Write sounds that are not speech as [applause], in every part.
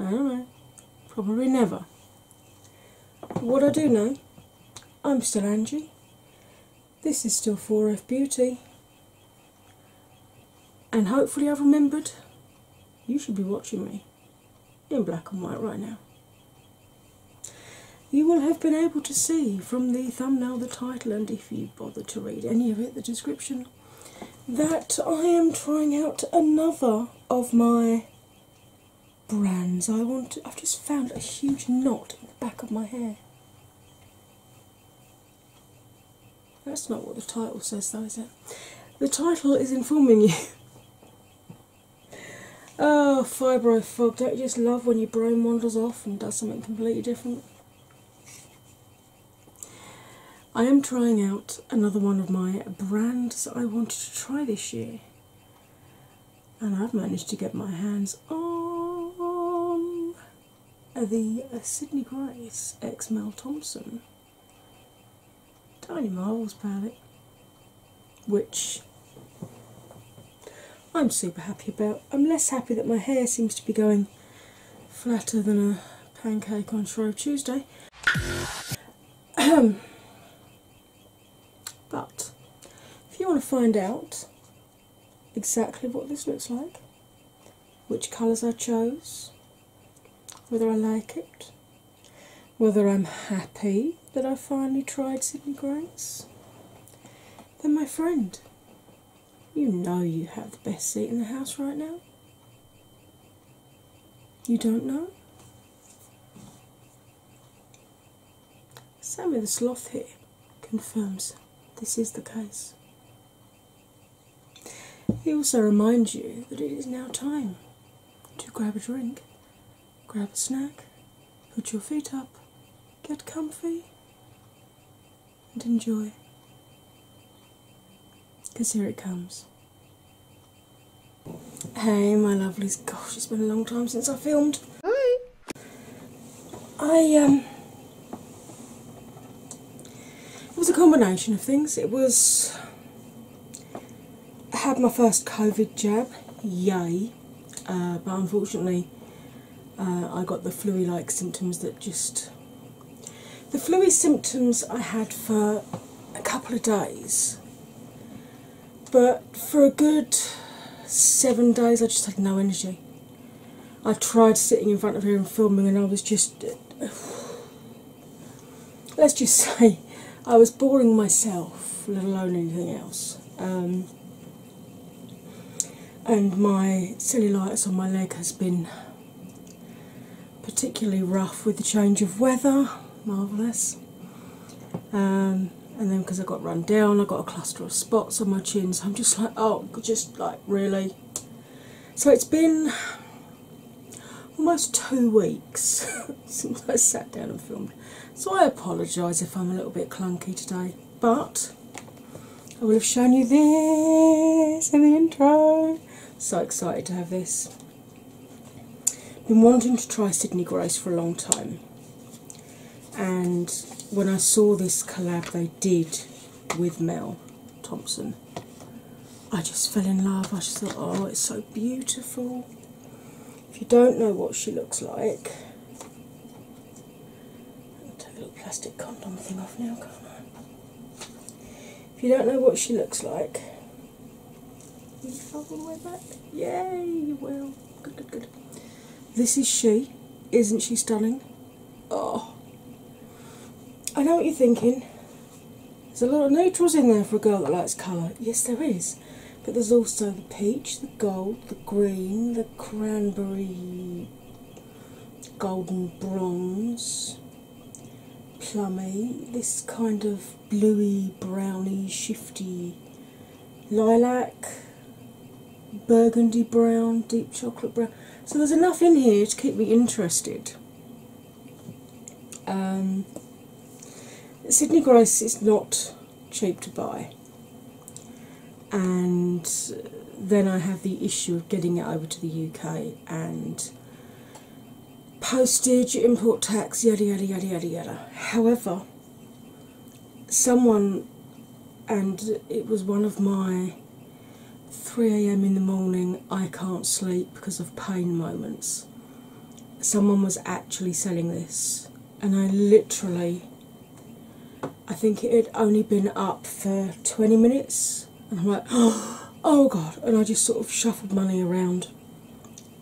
I don't know, probably never. What I do know, I'm still Angie. This is still 4F Beauty. And hopefully, I've remembered you should be watching me in black and white right now. You will have been able to see from the thumbnail, the title, and if you bothered to read any of it, the description, that I am trying out another of my brands. I want I've just found a huge knot in the back of my hair. That's not what the title says though, is it? The title is informing you. [laughs] oh, fibro fog, don't you just love when your brain wanders off and does something completely different? I am trying out another one of my brands I wanted to try this year, and I've managed to get my hands on the uh, Sydney Grace X Mel Thompson Tiny Marvels palette, which I'm super happy about. I'm less happy that my hair seems to be going flatter than a pancake on Shrove Tuesday. [clears throat] but if you want to find out exactly what this looks like, which colours I chose, whether I like it, whether I'm happy that I finally tried Sydney Grace, then my friend, you know you have the best seat in the house right now. You don't know? Sammy the Sloth here confirms this is the case. He also reminds you that it is now time to grab a drink, grab a snack, put your feet up, get comfy, and enjoy. Because here it comes. Hey, my lovelies. Gosh, it's been a long time since I filmed. Hi. I, um. It was a combination of things. It was. I had my first COVID jab, yay, uh, but unfortunately uh, I got the flu like symptoms that just the fluey symptoms I had for a couple of days, but for a good seven days I just had no energy. I tried sitting in front of here and filming, and I was just let's just [laughs] say I was boring myself, let alone anything else. Um, and my silly cellulitis on my leg has been particularly rough with the change of weather. Marvellous. Um, and then because I got run down, I got a cluster of spots on my chin, so I'm just like, oh, just like really. So it's been almost two weeks [laughs] since I sat down and filmed. So I apologise if I'm a little bit clunky today, but I will have shown you this in the intro. So excited to have this. Been wanting to try Sydney Grace for a long time, and when I saw this collab they did with Mel Thompson, I just fell in love. I just thought, oh, it's so beautiful. If you don't know what she looks like, I'll take a little plastic condom thing off now, can't I? If you don't know what she looks like, Yay, you will. Good, good, good. This is she. Isn't she stunning? Oh, I know what you're thinking. There's a lot of neutrals in there for a girl that likes colour. Yes, there is. But there's also the peach, the gold, the green, the cranberry, golden bronze, plummy, this kind of bluey, browny, shifty lilac, burgundy brown, deep chocolate brown. So there's enough in here to keep me interested. Um, Sydney Grace is not cheap to buy, and then I have the issue of getting it over to the UK and postage, import tax, yada yada yada yada yada. However, someone, and it was one of my 3 am in the morning, I can't sleep because of pain moments, someone was actually selling this, and I literally. I think it had only been up for 20 minutes and I'm like [gasps] oh god and I just sort of shuffled money around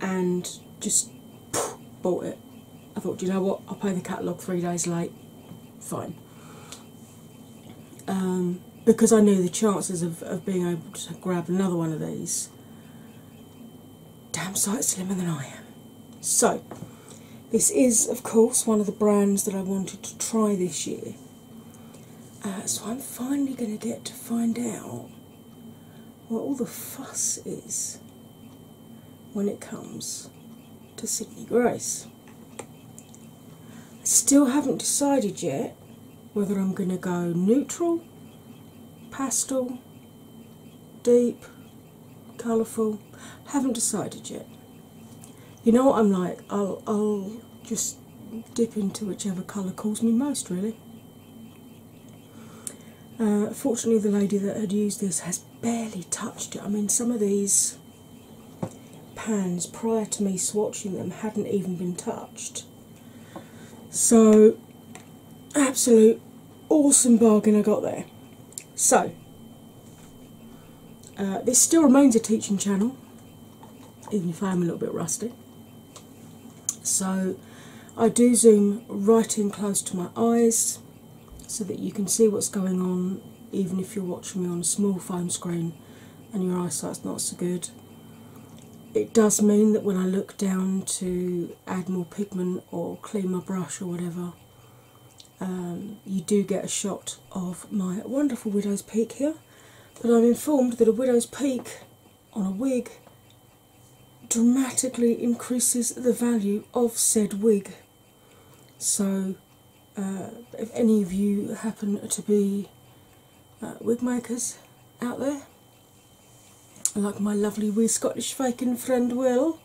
and just [laughs] bought it. I thought, do you know what? I'll pay the catalogue three days late. Fine. Um, because I knew the chances of being able to grab another one of these damn sight slimmer than I am. So, this is, of course, one of the brands that I wanted to try this year. Uh, so I'm finally going to get to find out what all the fuss is when it comes to Sydney Grace. I still haven't decided yet whether I'm going to go neutral, pastel, deep, colourful. Haven't decided yet you know what I'm like? I'll, I'll just dip into whichever colour calls me most, really. Uh, fortunately, the lady that had used this has barely touched it. I mean, some of these pans prior to me swatching them hadn't even been touched. So, absolute awesome bargain I got there. So, uh, this still remains a teaching channel even if I am a little bit rusty. So I do zoom right in close to my eyes so that you can see what's going on, even if you're watching me on a small phone screen and your eyesight's not so good. It does mean that when I look down to add more pigment or clean my brush or whatever, um, you do get a shot of my wonderful widow's peak here but I'm informed that a widow's peak on a wig dramatically increases the value of said wig. So, uh, if any of you happen to be uh, wig makers out there, like my lovely wee Scottish Viking friend Will,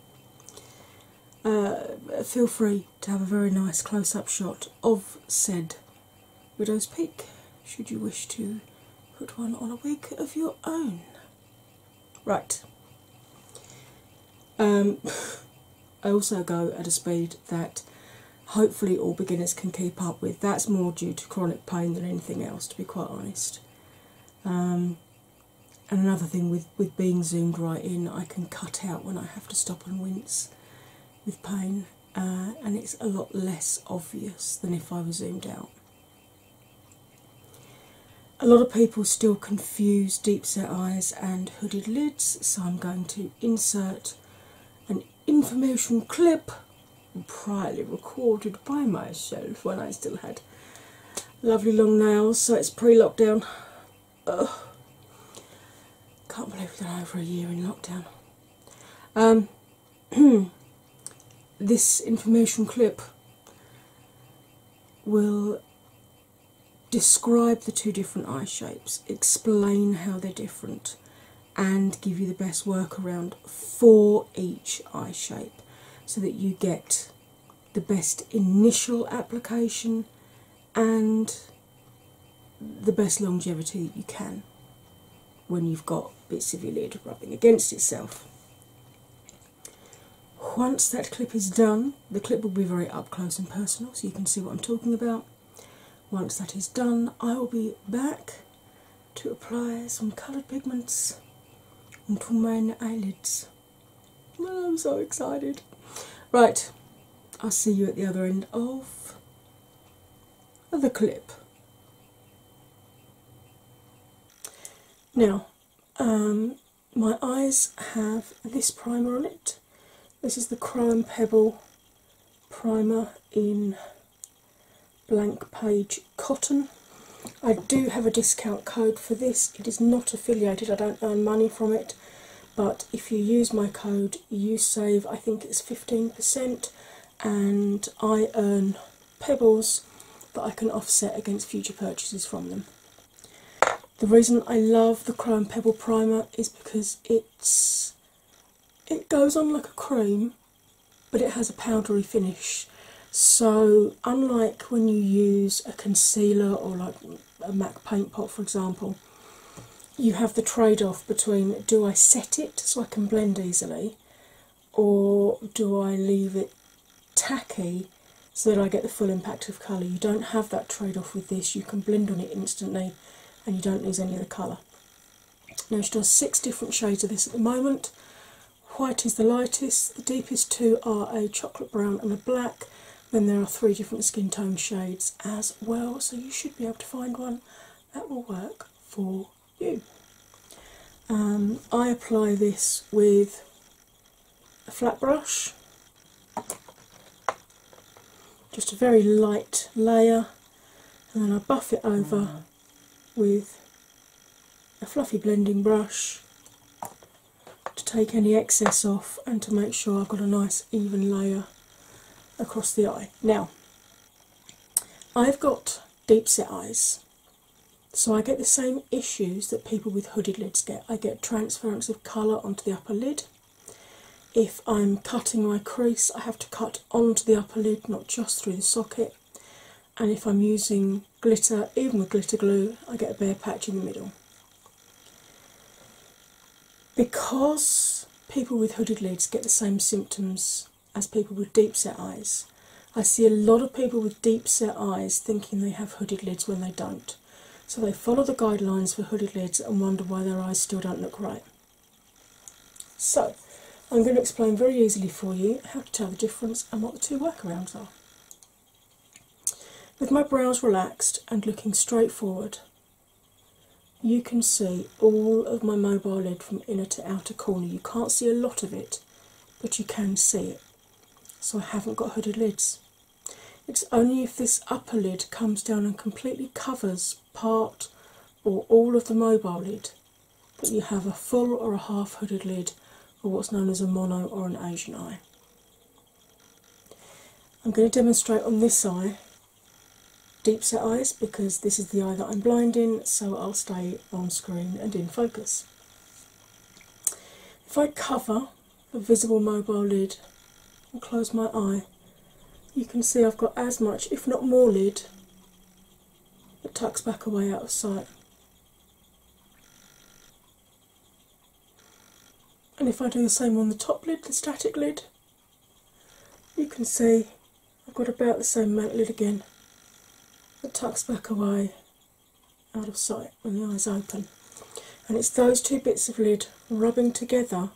uh, feel free to have a very nice close up shot of said widow's peak should you wish to put one on a wig of your own. Right. Um, [laughs] I also go at a speed that hopefully all beginners can keep up with. That's more due to chronic pain than anything else, to be quite honest. Um, and another thing with, with being zoomed right in, I can cut out when I have to stop and wince with pain. Uh, and it's a lot less obvious than if I was zoomed out. A lot of people still confuse deep set eyes and hooded lids, so I'm going to insert an information clip priorly recorded by myself when I still had lovely long nails, so it's pre lockdown. Ugh. Can't believe we're over a year in lockdown. Um, [clears throat] this information clip will describe the two different eye shapes, explain how they're different, and give you the best workaround for each eye shape so that you get the best initial application and the best longevity you can when you've got bits of your lid rubbing against itself. Once that clip is done, the clip will be very up close and personal so you can see what I'm talking about. Once that is done, I will be back to apply some coloured pigments onto my eyelids. I'm so excited. Right, I'll see you at the other end of of the clip. Now, um, my eyes have this primer on it. This is the Crime Pebble primer in blank page cotton. I do have a discount code for this, it is not affiliated, I don't earn money from it but if you use my code you save i think it's 15% and i earn pebbles that i can offset against future purchases from them the reason i love the chrome pebble primer is because it's it goes on like a cream but it has a powdery finish so unlike when you use a concealer or like a mac paint pot for example you have the trade off between do I set it so I can blend easily, or do I leave it tacky so that I get the full impact of colour? You don't have that trade off with this, you can blend on it instantly and you don't lose any of the colour. Now, she done six different shades of this at the moment. White is the lightest, the deepest two are a chocolate brown and a black. Then there are three different skin tone shades as well, so you should be able to find one that will work for you. Um, I apply this with a flat brush, just a very light layer, and then I buff it over mm. with a fluffy blending brush to take any excess off and to make sure I've got a nice even layer across the eye. Now, I've got deep set eyes, so I get the same issues that people with hooded lids get. I get transference of colour onto the upper lid. If I'm cutting my crease, I have to cut onto the upper lid, not just through the socket. And if I'm using glitter, even with glitter glue, I get a bare patch in the middle because people with hooded lids get the same symptoms as people with deep set eyes, I see a lot of people with deep set eyes thinking they have hooded lids when they don't. So they follow the guidelines for hooded lids and wonder why their eyes still don't look right. So, I'm going to explain very easily for you how to tell the difference and what the two workarounds are. With my brows relaxed and looking straight forward, you can see all of my mobile lid from inner to outer corner. You can't see a lot of it, but you can see it. So I haven't got hooded lids. It's only if this upper lid comes down and completely covers part or all of the mobile lid that you have a full or a half hooded lid or what's known as a mono or an Asian eye. I'm going to demonstrate on this eye deep set eyes because this is the eye that I'm blinding, so I'll stay on screen and in focus. If I cover the visible mobile lid and close my eye, you can see I've got as much, if not more, lid that tucks back away out of sight. And if I do the same on the top lid, the static lid, you can see I've got about the same mantlet again that tucks back away out of sight when the eyes open. And it's those two bits of lid rubbing together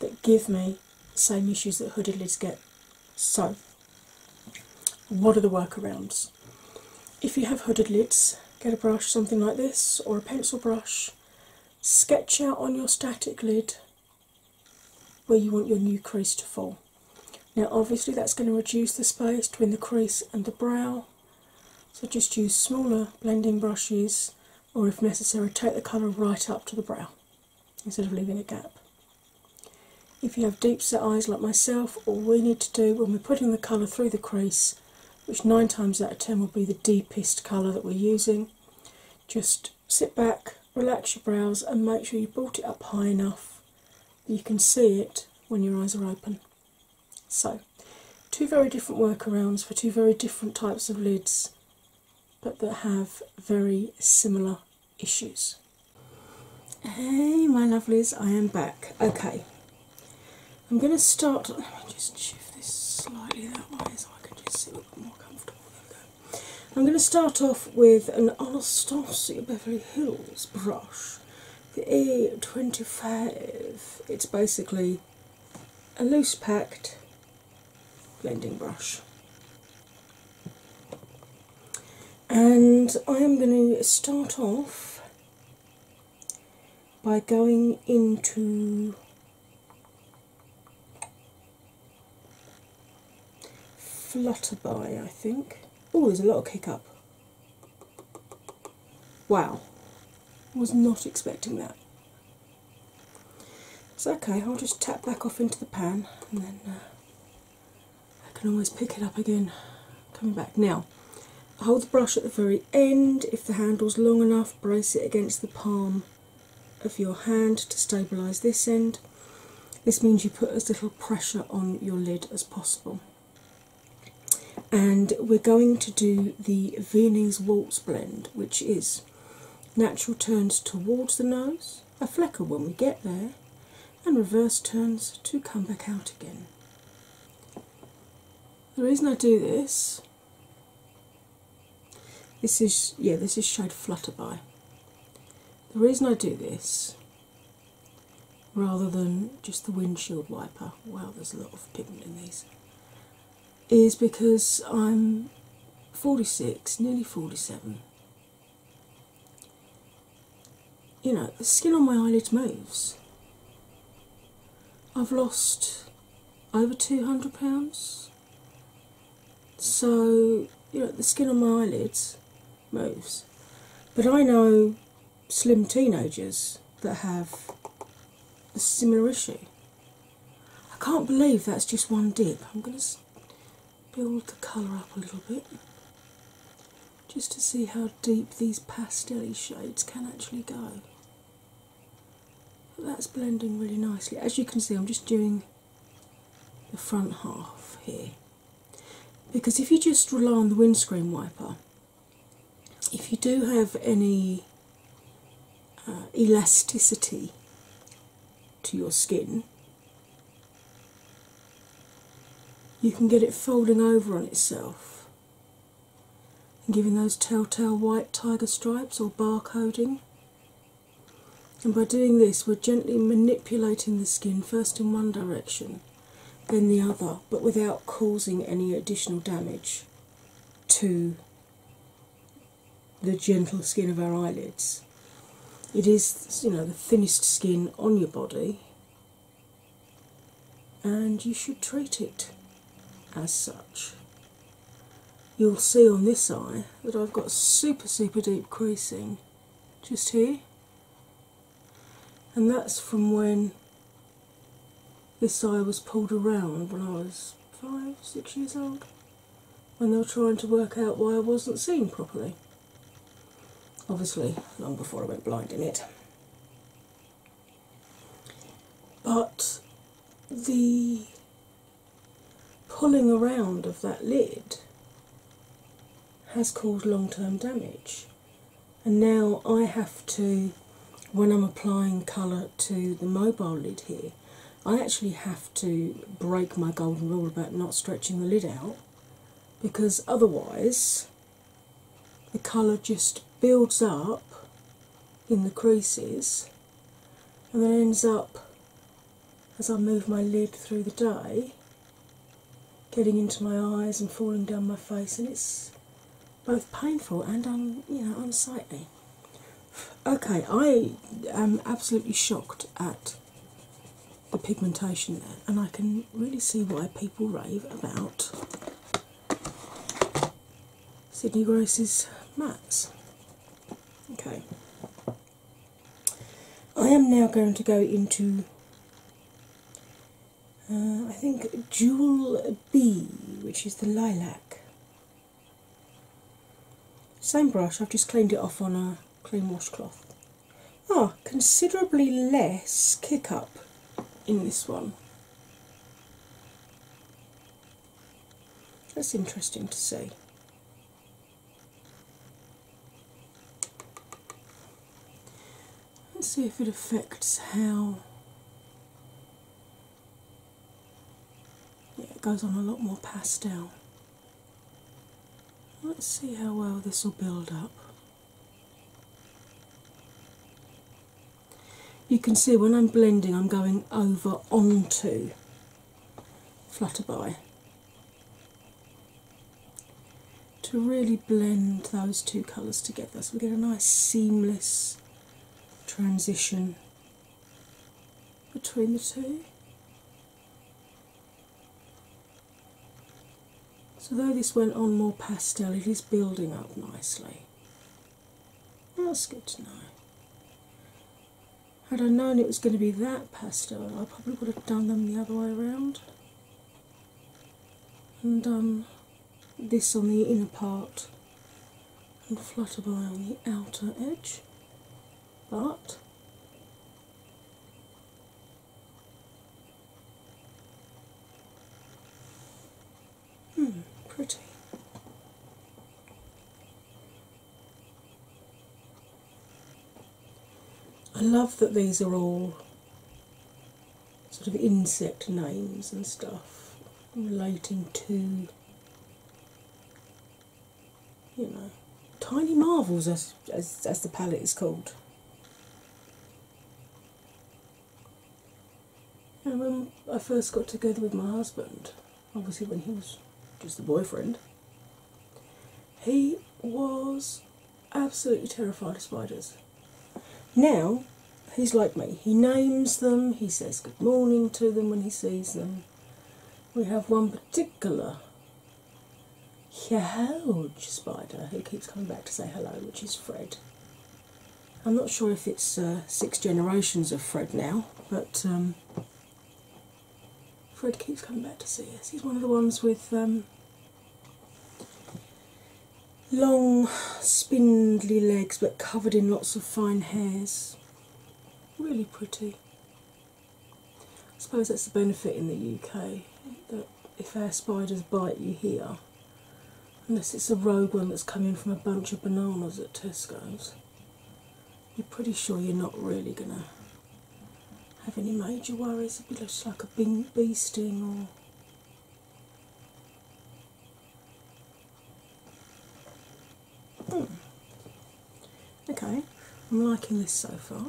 that give me the same issues that hooded lids get. So, what are the workarounds? If you have hooded lids, get a brush, something like this, or a pencil brush, sketch out on your static lid where you want your new crease to fall. Now, obviously, that's going to reduce the space between the crease and the brow, so just use smaller blending brushes, or if necessary, take the colour right up to the brow instead of leaving a gap. If you have deep set eyes like myself, all we need to do when we're putting the colour through the crease, which nine times out of ten will be the deepest colour that we're using, just sit back, relax your brows, and make sure you brought it up high enough that you can see it when your eyes are open. So, two very different workarounds for two very different types of lids, but that have very similar issues. Hey, my lovelies, I am back. Okay, I'm going to start. Let me just shift this slightly that way so I can just see a little more comfortable. I'm going to start off with an Anastasia Beverly Hills brush, the A25. It's basically a loose packed blending brush. And I am going to start off by going into Flutterby, I think. Oh, there's a lot of kick up. Wow, was not expecting that. It's okay, I'll just tap back off into the pan and then uh, I can always pick it up again coming back. Now, hold the brush at the very end. If the handle's long enough, brace it against the palm of your hand to stabilise this end. This means you put as little pressure on your lid as possible. And we're going to do the Viennese Waltz blend, which is natural turns towards the nose, a flecker when we get there, and reverse turns to come back out again. The reason I do this this is yeah, this is shade Flutterby. The reason I do this rather than just the windshield wiper, wow there's a lot of pigment in these, is because I'm 46, nearly 47. You know, the skin on my eyelid moves. I've lost over 200 pounds so you know the skin on my eyelids moves. But I know slim teenagers that have a similar issue. I can't believe that's just one dip. I'm going to build the colour up a little bit just to see how deep these pastel shades can actually go. that's blending really nicely. As you can see, I'm just doing the front half here. Because if you just rely on the windscreen wiper, if you do have any uh, elasticity to your skin, you can get it folding over on itself giving those telltale white tiger stripes or barcoding and by doing this, we're gently manipulating the skin first in one direction, then the other, but without causing any additional damage to the gentle skin of our eyelids. It is, you know, the thinnest skin on your body, and you should treat it as such you'll see on this eye that I've got super, super deep creasing just here, and that's from when this eye was pulled around when I was five, six years old, when they were trying to work out why I wasn't seeing properly. Obviously, long before I went blind in it. But the pulling around of that lid has caused long term damage. And now I have to, when I'm applying colour to the mobile lid here, I actually have to break my golden rule about not stretching the lid out because otherwise the colour just builds up in the creases and then ends up as I move my lid through the day, getting into my eyes and falling down my face, and it's both painful and you know unsightly. Okay, I am absolutely shocked at the pigmentation there, and I can really see why people rave about Sydney Gross's mats. Okay. I am now going to go into uh, I think Jewel B, which is the lilac. Same brush, I've just cleaned it off on a clean washcloth. Ah, considerably less kick up in this one. That's interesting to see. Let's see if it affects how. Yeah, it goes on a lot more pastel. Let's see how well this will build up. You can see when I'm blending, I'm going over onto Flutterby to really blend those two colours together so we get a nice seamless transition between the two. So, though this went on more pastel, it is building up nicely. That's good to know. Had I known it was going to be that pastel, I probably would have done them the other way around and done um, this on the inner part and Flutterby on the outer edge. But Hmm, pretty. I love that these are all sort of insect names and stuff relating to you know tiny marvels as as, the palette is called. And when I first got together with my husband, obviously when he was just a boyfriend, he was absolutely terrified of spiders. Now he's like me. He names them, he says good morning to them when he sees them. We have one particular huge spider who keeps coming back to say hello, which is Fred. I'm not sure if it's uh, six generations of Fred now, but um, Fred keeps coming back to see us. He's one of the ones with um, long, spindly legs but covered in lots of fine hairs. Really pretty. I suppose that's the benefit in the UK that if our spiders bite you here, unless it's a rogue one that's coming from a bunch of bananas at Tesco's you're pretty sure you're not really going to have any major worries if it looks like a bee, sting or hmm. Okay, I'm liking this so far.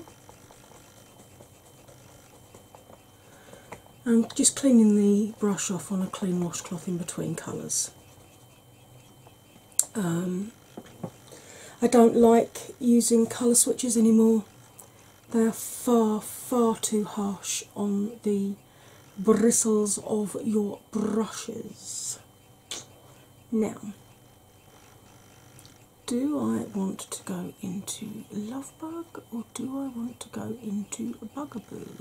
I'm um, just cleaning the brush off on a clean washcloth in between colours. Um, I don't like using colour switches anymore. They are far, far too harsh on the bristles of your brushes. Now, do I want to go into Lovebug or do I want to go into Bugaboo?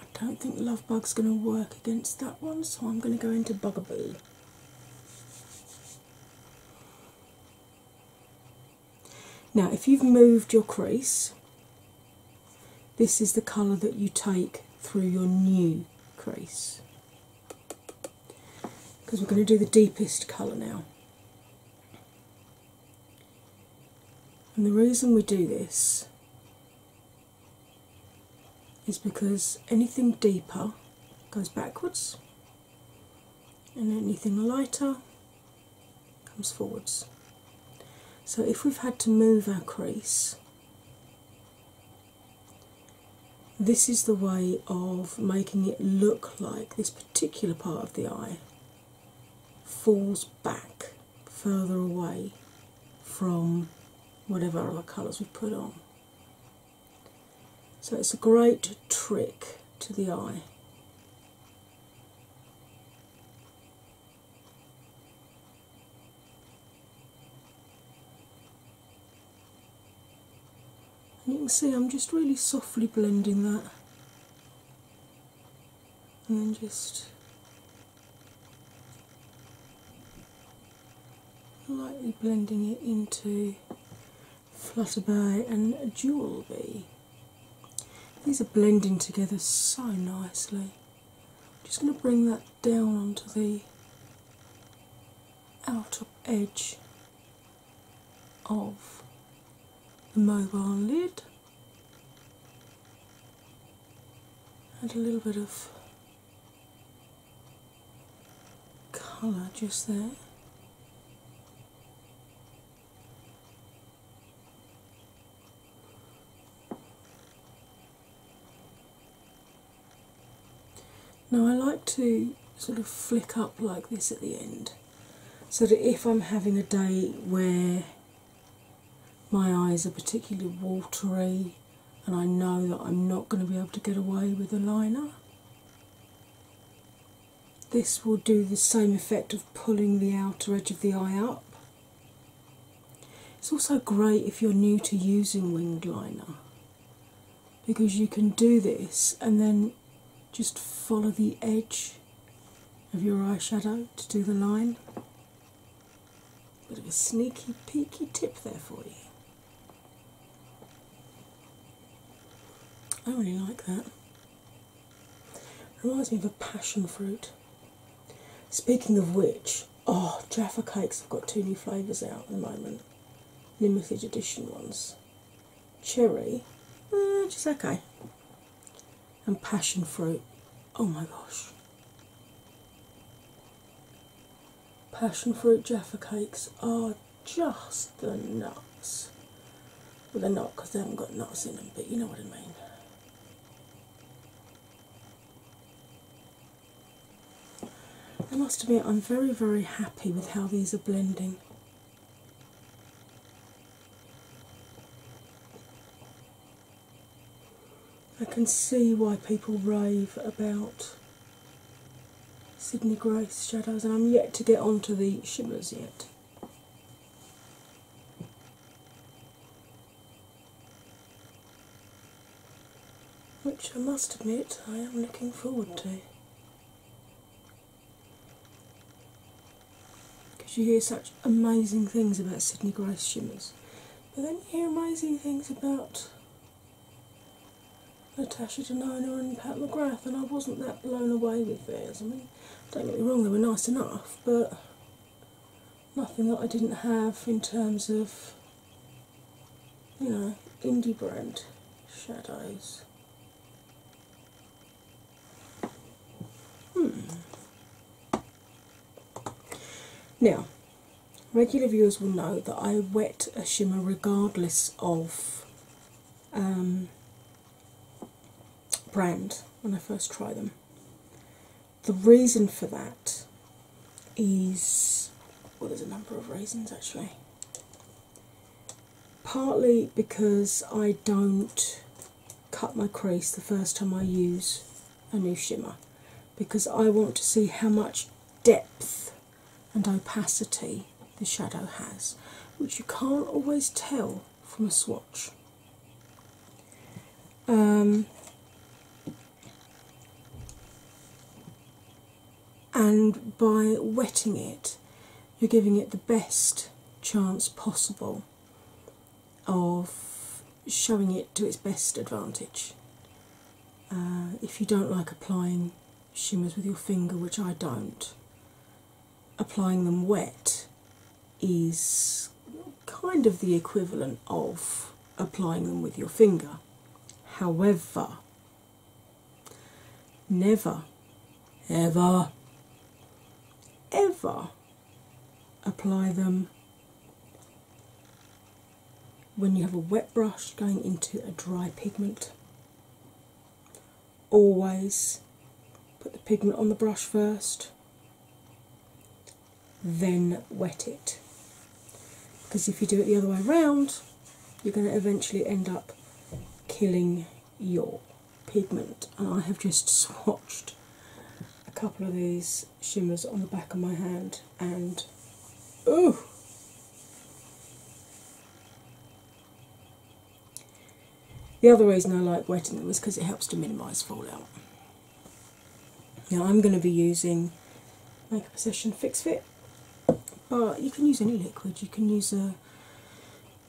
I don't think Love Bug's going to work against that one, so I'm going to go into Bugaboo. Now, if you've moved your crease, this is the colour that you take through your new crease because we're going to do the deepest colour now. And the reason we do this is because anything deeper goes backwards and anything lighter comes forwards. So if we've had to move our crease, this is the way of making it look like this particular part of the eye falls back further away from whatever other colours we put on. So it's a great trick to the eye. And you can see I'm just really softly blending that and then just lightly blending it into Flutterby and Jewel Bee. These are blending together so nicely. I'm just going to bring that down onto the outer edge of the mobile lid Add a little bit of colour just there. Now I like to sort of flick up like this at the end so that if I'm having a day where my eyes are particularly watery, and I know that I'm not going to be able to get away with a liner. This will do the same effect of pulling the outer edge of the eye up. It's also great if you're new to using winged liner because you can do this and then just follow the edge of your eyeshadow to do the line. Bit of a sneaky, peeky tip there for you. I really like that. Reminds me of a passion fruit. Speaking of which, oh, Jaffa Cakes have got two new flavours out at the moment, limited edition ones. Cherry, eh, just okay. And passion fruit, oh my gosh, Passion fruit Jaffa cakes are just the nuts. Well, they're not because they haven't got nuts in them, but you know what I mean. I must admit, I'm very, very happy with how these are blending. I can see why people rave about Sydney Grace shadows, and I'm yet to get onto the shimmers yet. Which I must admit I am looking forward to. Because you hear such amazing things about Sydney Grace shimmers. But then you hear amazing things about Natasha Denona and Pat McGrath, and I wasn't that blown away with theirs. I mean, don't get me wrong, they were nice enough, but nothing that I didn't have in terms of, you indie brand shadows. Hmm. Now, regular viewers will know that I wet a shimmer regardless of um, brand when I first try them. The reason for that is well, there's a number of reasons actually. Partly because I don't cut my crease the first time I use a new shimmer because I want to see how much depth and opacity the shadow has, which you can't always tell from a swatch. Um, and by wetting it, you're giving it the best chance possible of showing it to its best advantage. Uh, if you don't like applying shimmers with your finger, which I don't, applying them wet is kind of the equivalent of applying them with your finger. However, never, ever, ever apply them when you have a wet brush going into a dry pigment. Always put the pigment on the brush first, then wet it. Because if you do it the other way around, you're going to eventually end up killing your pigment. And I have just [laughs] swatched a couple of these shimmers on the back of my hand, and oh, the other reason I like wetting them is because it helps to minimise fallout. Now, I'm going to be using Makeup Obsession Fix Fit, but you can use any liquid, you can use a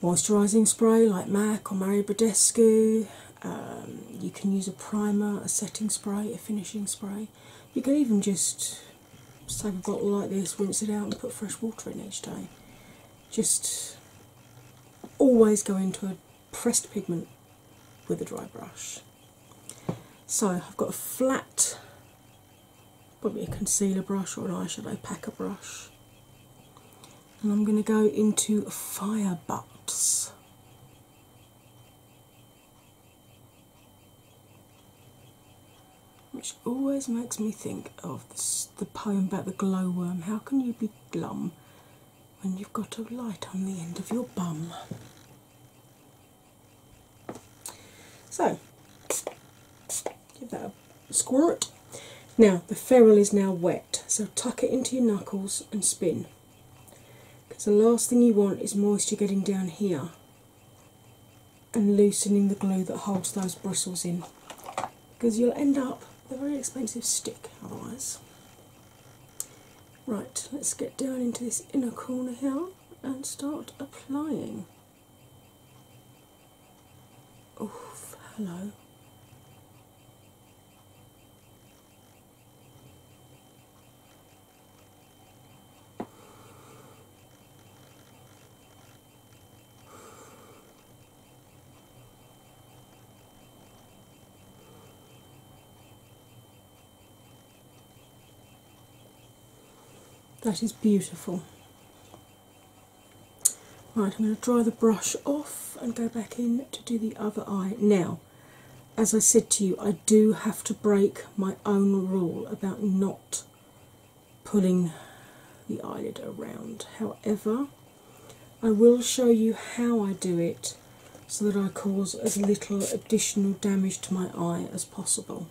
moisturising spray like MAC or Mario Badescu. Um, you can use a primer, a setting spray, a finishing spray. You can even just, just take a bottle like this, rinse it out, and put fresh water in each day. Just always go into a pressed pigment with a dry brush. So I've got a flat, probably a concealer brush or an eyeshadow packer brush. And I'm going to go into Fire Butts which always makes me think of the poem about the glowworm. How can you be glum when you've got a light on the end of your bum? So, give that a squirt. Now, the ferrule is now wet, so tuck it into your knuckles and spin. Because the last thing you want is moisture getting down here and loosening the glue that holds those bristles in. Because you'll end up with a very expensive stick otherwise. Right, let's get down into this inner corner here and start applying. Oh, hello. That is beautiful. Right, I'm going to dry the brush off and go back in to do the other eye. Now, as I said to you, I do have to break my own rule about not pulling the eyelid around. However, I will show you how I do it so that I cause as little additional damage to my eye as possible.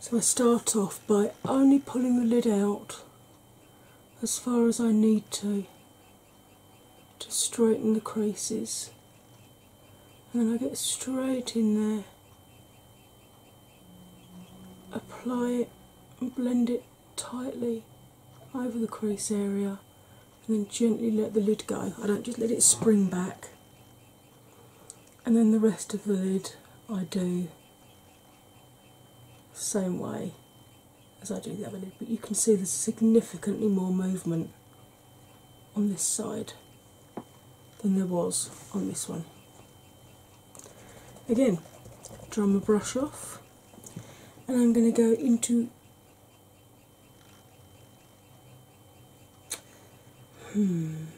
So I start off by only pulling the lid out as far as I need to to straighten the creases, and then I get straight in there, apply it and blend it tightly over the crease area, and then gently let the lid go. I don't just let it spring back, and then the rest of the lid I do same way as I do the other lid, but you can see there's significantly more movement on this side than there was on this one. Again, drum a brush off, and I'm going to go into Hmm.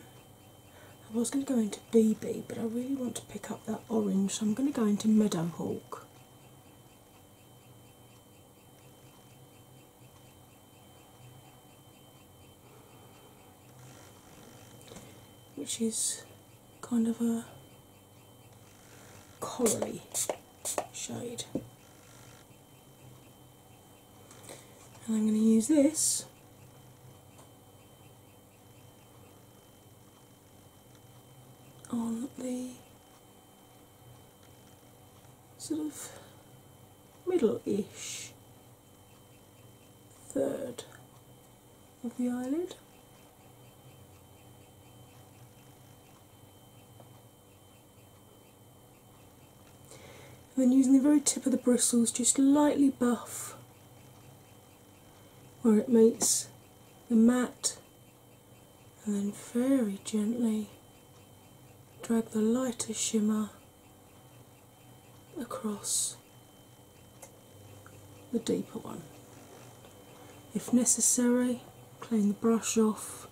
I was going to go into BB, but I really want to pick up that orange, so I'm going to go into Meadowhawk which is kind of a corally shade. And I'm going to use this on the sort of middle ish third of the eyelid. then using the very tip of the bristles, just lightly buff where it meets the mat and then very gently drag the lighter shimmer across the deeper one. If necessary, clean the brush off,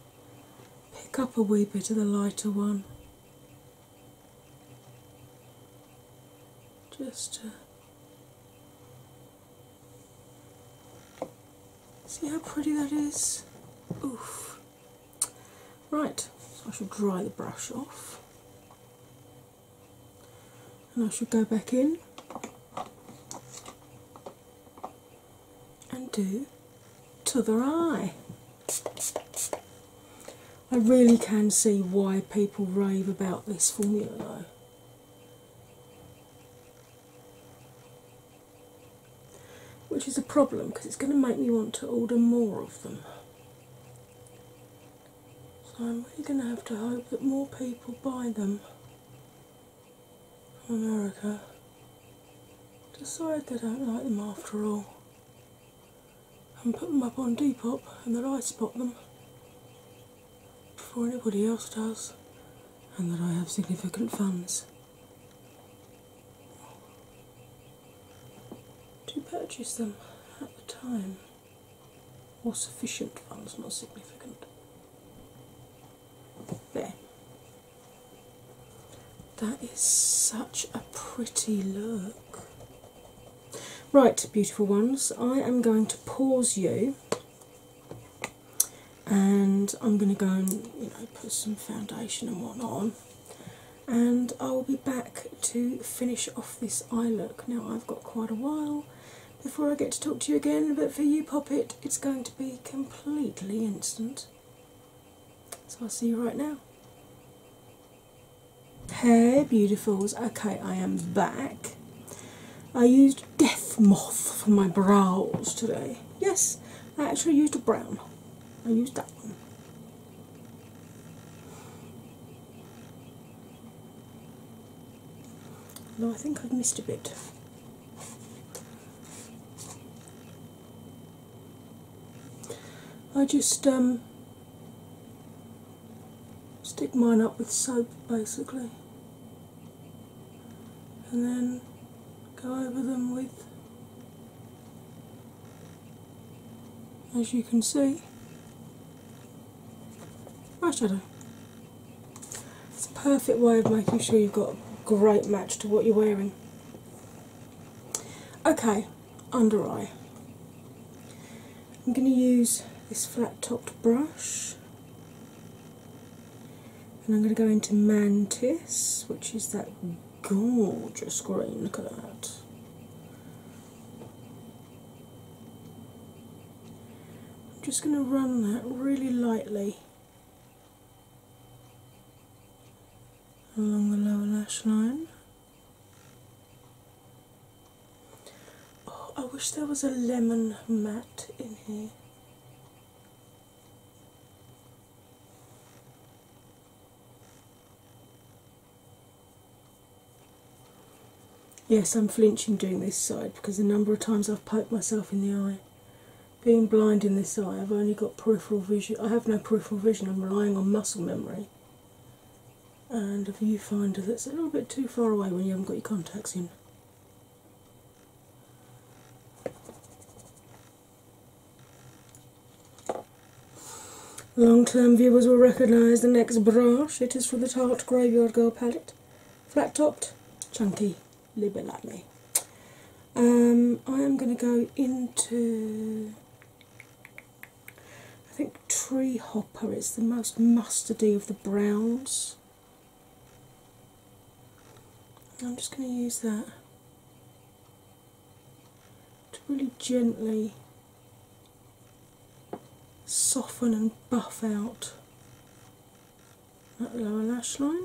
pick up a wee bit of the lighter one just See how pretty that is? Oof. Right, I should dry the brush off. And I should go back in and do t'other eye. I really can see why people rave about this formula though which is a problem because it's going to make me want to order more of them. So I'm really going to have to hope that more people buy them from America. Decide they don't like them after all and put them up on Depop and that I spot them before anybody else does and that I have significant funds to purchase them at the time, or sufficient funds, not significant. There. That is such a pretty look. Right, beautiful ones, I am going to pause you and I'm going to go and you know put some foundation and what on, and I will be back to finish off this eye look. Now I've got quite a while before I get to talk to you again, but for you, pop it, it's going to be completely instant. So I'll see you right now. Hey, beautifuls. Okay, I am back. I used Death Moth for my brows today. Yes, I actually used a brown. I used that one. No, I think I've missed a bit. I just um, stick mine up with soap basically and then go over them with, as you can see, eyeshadow. It's a perfect way of making sure you've got a great match to what you're wearing. Okay, under eye. I'm going to use this flat topped brush and I'm going to go into Mantis, which is that gorgeous green. Look at that. I'm just going to run that really lightly along the lower lash line. Oh, I wish there was a lemon mat in here. Yes, I'm flinching doing this side because the number of times I've poked myself in the eye. Being blind in this eye, I've only got peripheral vision. I have no peripheral vision, I'm relying on muscle memory and a viewfinder that's a little bit too far away when you haven't got your contacts in. Long-term viewers will recognise the next brush. It is from the Tart Graveyard Girl palette. Flat-topped, chunky, a Um, I am going to go into, I think Tree Hopper is the most mustardy of the browns. I'm just going to use that to really gently soften and buff out that lower lash line.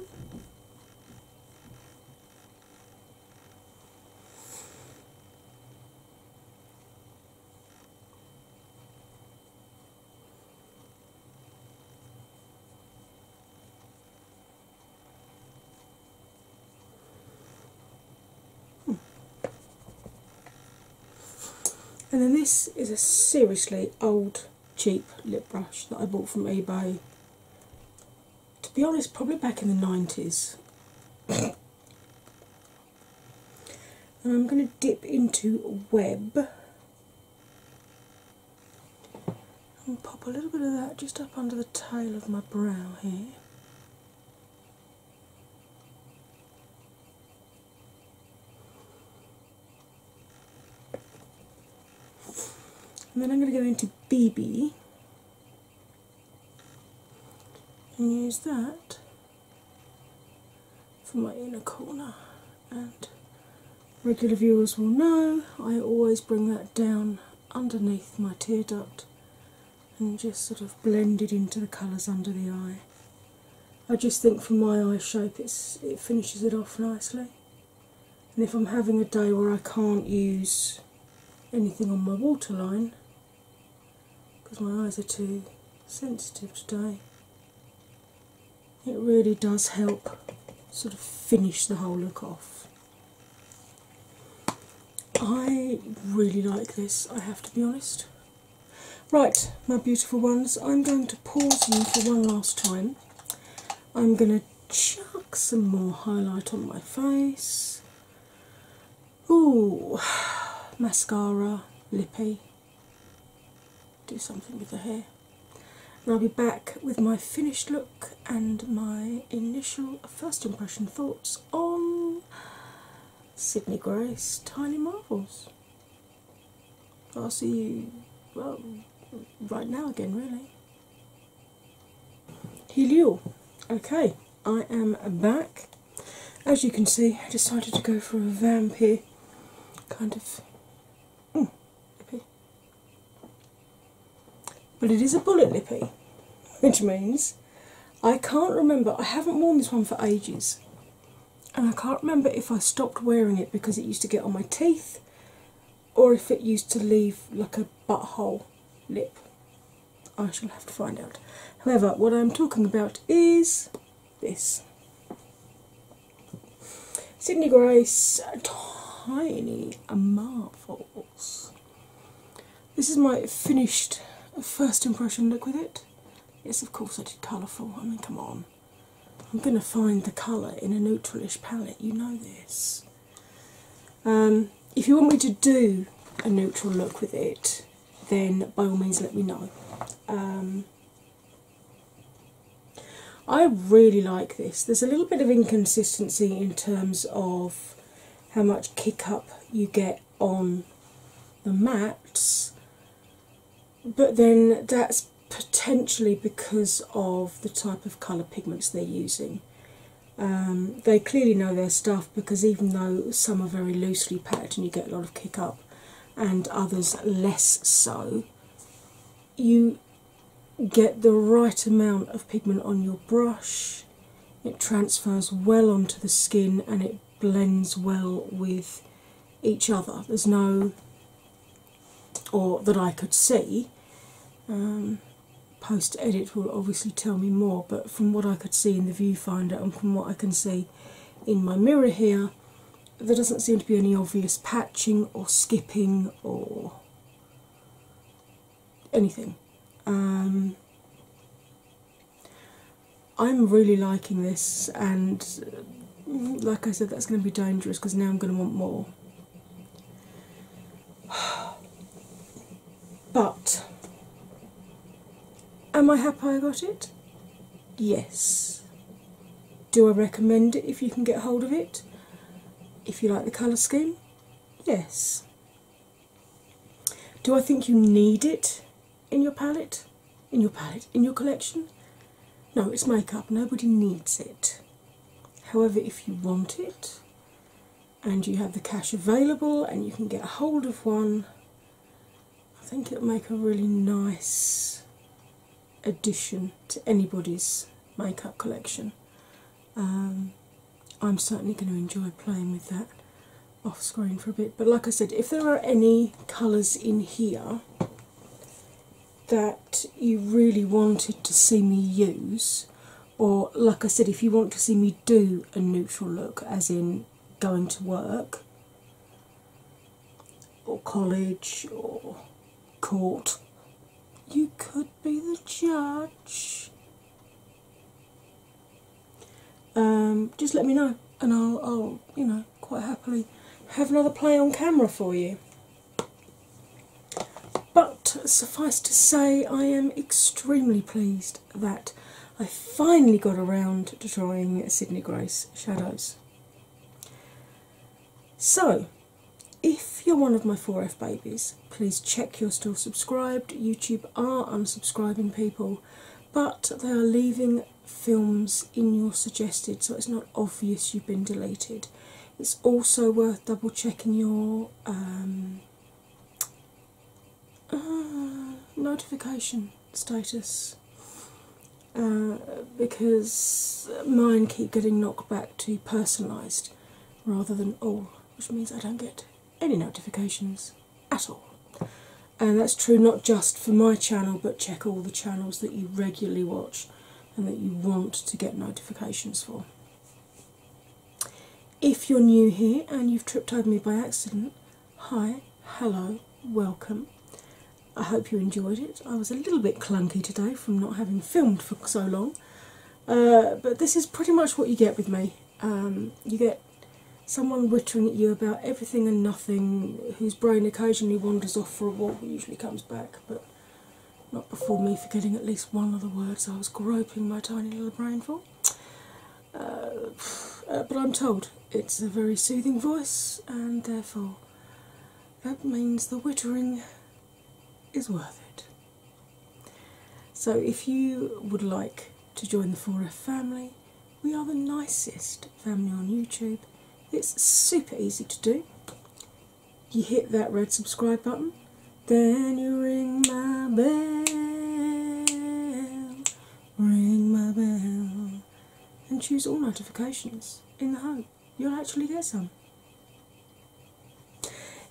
And then this is a seriously old, cheap lip brush that I bought from eBay. To be honest, probably back in the 90s. [coughs] I'm going to dip into Web and pop a little bit of that just up under the tail of my brow here. And then I'm going to go into BB and use that for my inner corner and regular viewers will know I always bring that down underneath my tear duct and just sort of blend it into the colours under the eye. I just think for my eye shape it's, it finishes it off nicely. And if I'm having a day where I can't use anything on my waterline because my eyes are too sensitive today, it really does help sort of finish the whole look off. I really like this, I have to be honest. Right, my beautiful ones, I'm going to pause you for one last time. I'm going to chuck some more highlight on my face. Oh, [sighs] mascara, lippy. Do something with the hair. And I'll be back with my finished look and my initial first impression thoughts on Sydney Grace Tiny Marvels. I'll see you well right now again really. Helio. Okay, I am back. As you can see, I decided to go for a vampy kind of mm, but it is a bullet lippy, [laughs] which means I can't remember, I haven't worn this one for ages, and I can't remember if I stopped wearing it because it used to get on my teeth or if it used to leave like a butthole lip. I shall have to find out. However, what I'm talking about is this. Sydney Grace Tiny Marvels. This is my finished first impression look with it. Yes, of course, I did colourful. I mean, come on. I'm going to find the colour in a neutralish palette, you know this. Um, if you want me to do a neutral look with it, then by all means let me know. Um, I really like this. There's a little bit of inconsistency in terms of how much kick up you get on the mats, but then that's potentially because of the type of colour pigments they're using. Um, they clearly know their stuff because even though some are very loosely packed and you get a lot of kick up, and others less so, you get the right amount of pigment on your brush, it transfers well onto the skin and it blends well with each other. There's no, or that I could see. Um, Post edit will obviously tell me more, but from what I could see in the viewfinder and from what I can see in my mirror here, there doesn't seem to be any obvious patching or skipping or anything. Um, I'm really liking this, and mm, like I said, that's going to be dangerous because now I'm going to want more. [sighs] But am I happy I got it? Yes. Do I recommend it if you can get hold of it? If you like the colour scheme? Yes. Do I think you need it in your palette? In your palette? In your collection? No, it's makeup. Nobody needs it. However, if you want it and you have the cash available and you can get hold of one, I think it'll make a really nice addition to anybody's makeup collection. Um, I'm certainly going to enjoy playing with that off screen for a bit. But like I said, if there are any colours in here that you really wanted to see me use, or like I said, if you want to see me do a neutral look, as in going to work or college or court you could be the judge. Um, just let me know, and I'll, you know, quite happily have another play on camera for you. But suffice to say, I am extremely pleased that I finally got around to trying Sydney Grace shadows. So, if you're one of my 4F babies, please check you're still subscribed. YouTube are unsubscribing people, but they are leaving films in your suggested so it's not obvious you've been deleted. It's also worth double checking your um, uh, notification status uh, because mine keep getting knocked back to personalised rather than all, which means I don't get any notifications at all. And that's true not just for my channel, but check all the channels that you regularly watch and that you want to get notifications for. If you're new here and you've tripped over me by accident, hi, hello, welcome. I hope you enjoyed it. I was a little bit clunky today from not having filmed for so long, uh, but this is pretty much what you get with me. Um, you get someone whittering at you about everything and nothing, whose brain occasionally wanders off for a walk but usually comes back, but not before me forgetting at least one of the words I was groping my tiny little brain for. Uh, uh, but I'm told it's a very soothing voice, and therefore that means the whittering is worth it. So, if you would like to join the 4F family, we are the nicest family on YouTube. It's super easy to do. You hit that red subscribe button, then you ring my bell, ring my bell, and choose all notifications in the home you'll actually get some.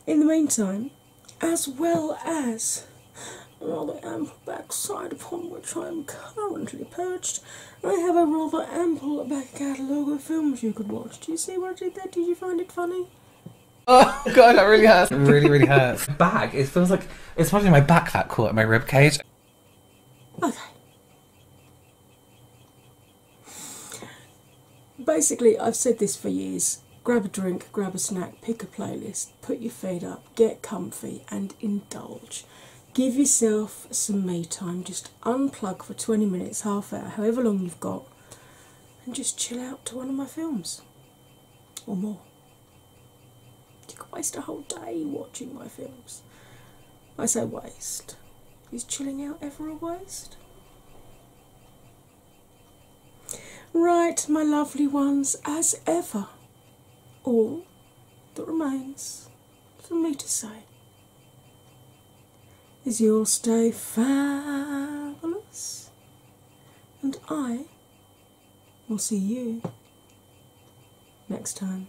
In the meantime, as well as rather ample backside upon which I am currently perched, I have a rather ample back catalogue of films you could watch. Do you see what I did there? Did you find it funny? Oh god, that really hurts. it really, really hurts. back, it feels like it's probably my back that caught my rib cage. Okay. Basically, I've said this for years grab a drink, grab a snack, pick a playlist, put your feet up, get comfy, and indulge. Give yourself some me time, just unplug for 20 minutes, half hour, however long you've got, and just chill out to one of my films or more. You could waste a whole day watching my films. I say waste. Is chilling out ever a waste? Right, my lovely ones, as ever, all that remains for me to say is you'll stay fabulous, and I will see you next time.